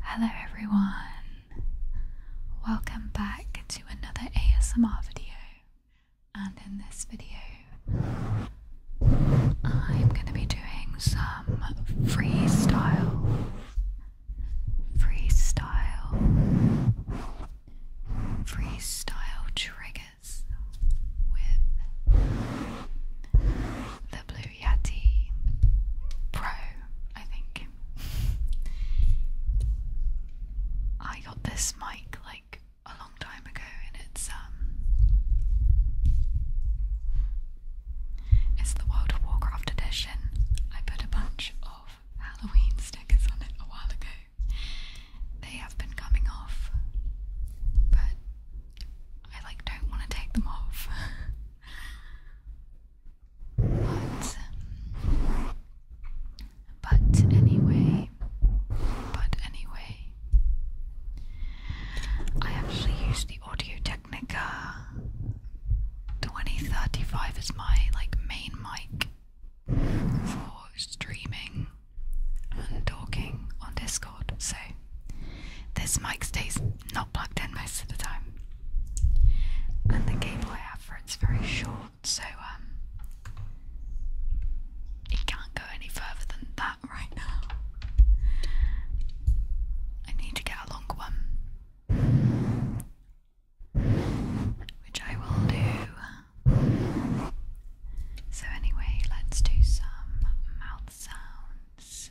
Hello everyone, welcome back to another ASMR video and in this video I'm going to be doing some freestyle, freestyle, freestyle triggers with the blue Yeti Pro, I think. I got this mic like a long time ago, and it's um, it's the World of Warcraft edition. I put a bunch of Halloween stickers on it a while ago. They have been coming off, but I like don't want to take them off. But, but anyway, but anyway, I actually use the Audio Technica 2035 as my like main mic for streaming and talking on Discord. So this mic stays not plugged in most of the time. And the cable I have for it's very short, so um, it can't go any further than that right now. I need to get a longer one. Which I will do. So, anyway, let's do some mouth sounds.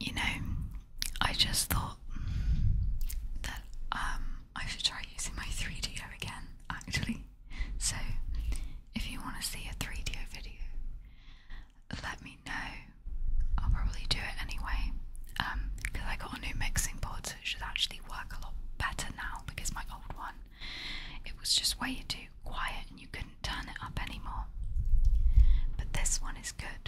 You know, I just thought that um, I should try using my 3DO again, actually. So, if you want to see a 3DO video, let me know. I'll probably do it anyway Um, because I got a new mixing board, so it should actually work a lot better now because my old one it was just way too quiet and you couldn't turn it up anymore. But this one is good.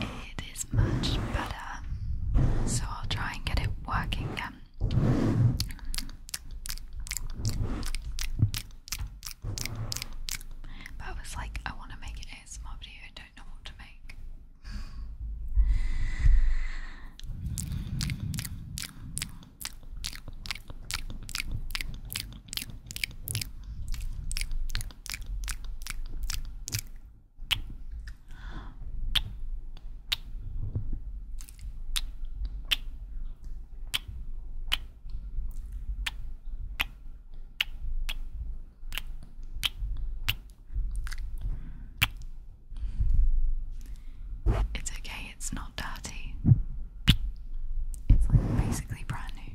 It is much better, so I'll try and get it working again. But I was like, I want to make a small video, I don't know what to make. It's okay, it's not dirty. It's like basically brand new.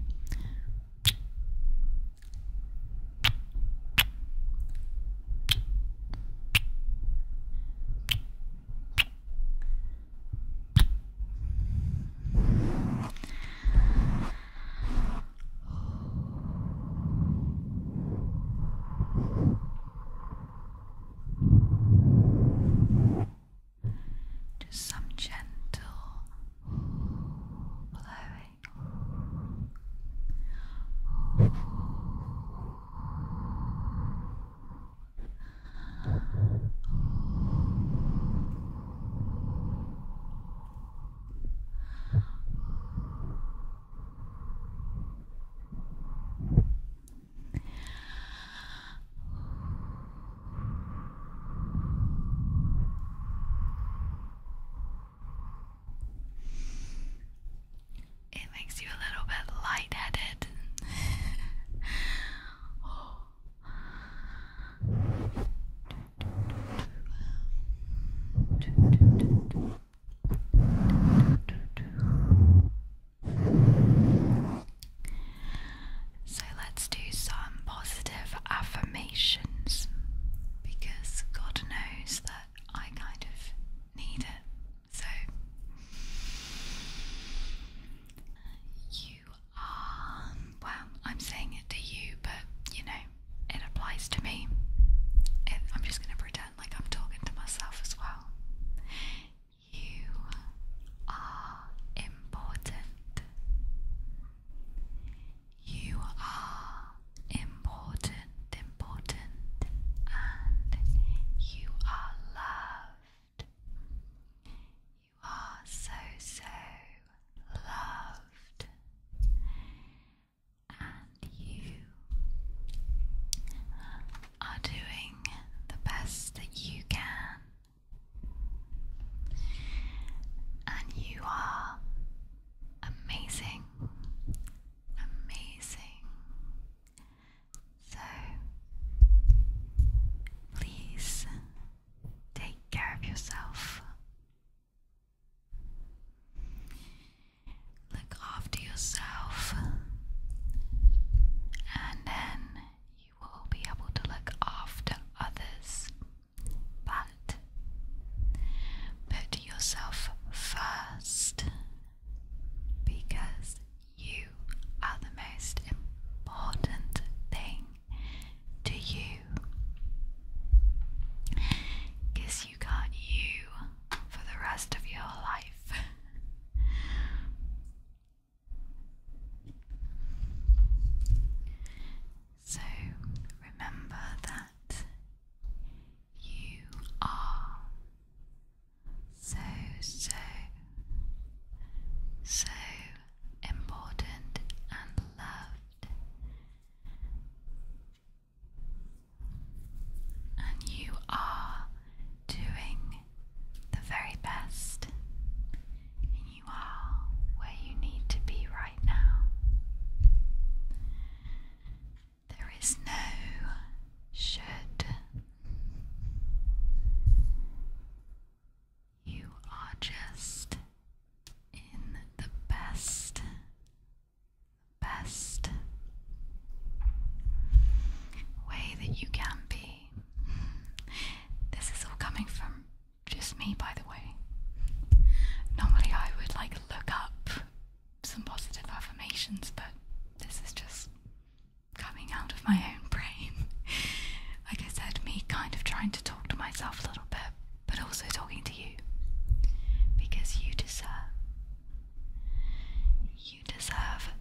Just some gentle blowing. It makes you a little bit lightheaded. oh. So let's do some positive affirmations because God knows that I kind of need it. So, you um, well, I'm saying it to you, but you know, it applies to me. I'm just going to pretend like I'm talking to myself as well. You are important. You are important, important, and you are loved. You are so, so loved, and you are doing the best that you can, and you are amazing, amazing. So, please take care of yourself. Look after yourself, and then you will be able to look after others. But put yourself first because you are the most important thing to you. you got you for the rest of your life. so remember that you are so, so, so important and loved. And you are doing the very best, and you are where you need to be right now. There is no should you are just in the best, best way that you can be. This is all coming from just me, by the way. Normally, I would like look up some positive affirmations, but this is just coming out of my own brain. like I said, me kind of trying to talk to myself a little bit, but also talking to you. Because you deserve. You deserve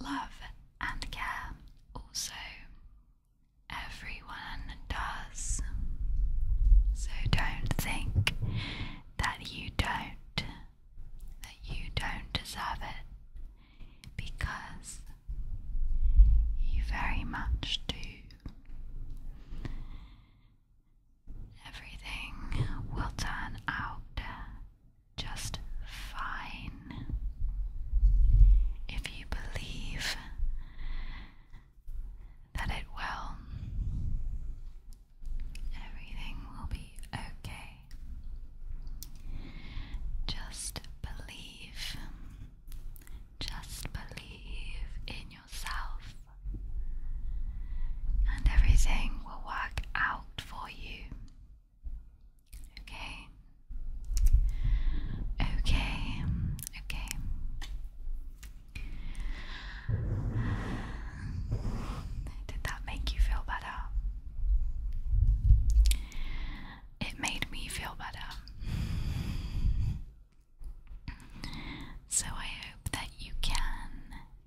love and care. Also, everyone does. So don't think that you don't that you don't deserve it because you very much do. Everything will turn out just fine if you believe that it will. Everything will be okay. Just believe, just believe in yourself, and everything will work out for you. Okay, okay, okay. Did that make you feel better? It made me feel better. So I hope that you can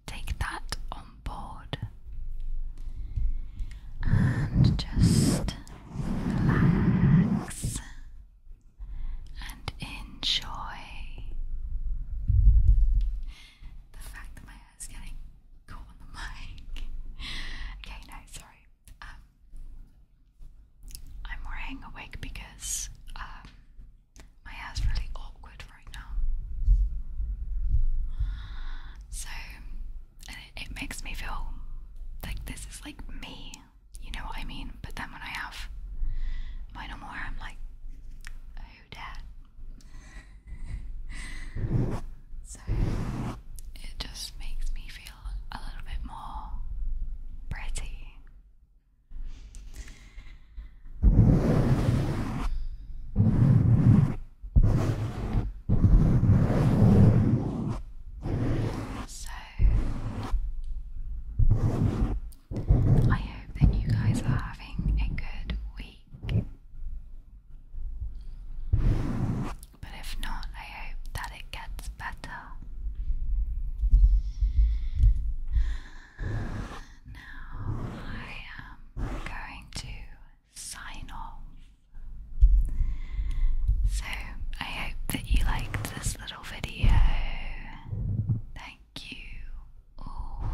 take that on board and just relax and enjoy the fact that my it's getting caught on the mic. okay, no, sorry. Um, I'm wearing a because um, my hair's really awkward right now. So, it, makes me feel like this is like me, you know what I mean? But then when I have my normal hair, I'm like, so it just makes me feel a little bit more pretty. So, I hope that you guys are having a good week week. But if not, I hope that it gets better. Now I am going to sign off. So I hope that you liked this little video. Thank you all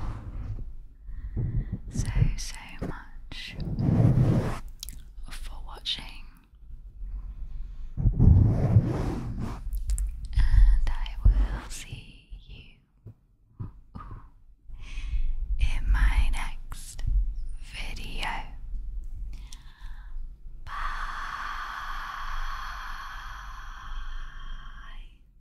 so, so much for watching, and I will see you in my next video. Bye.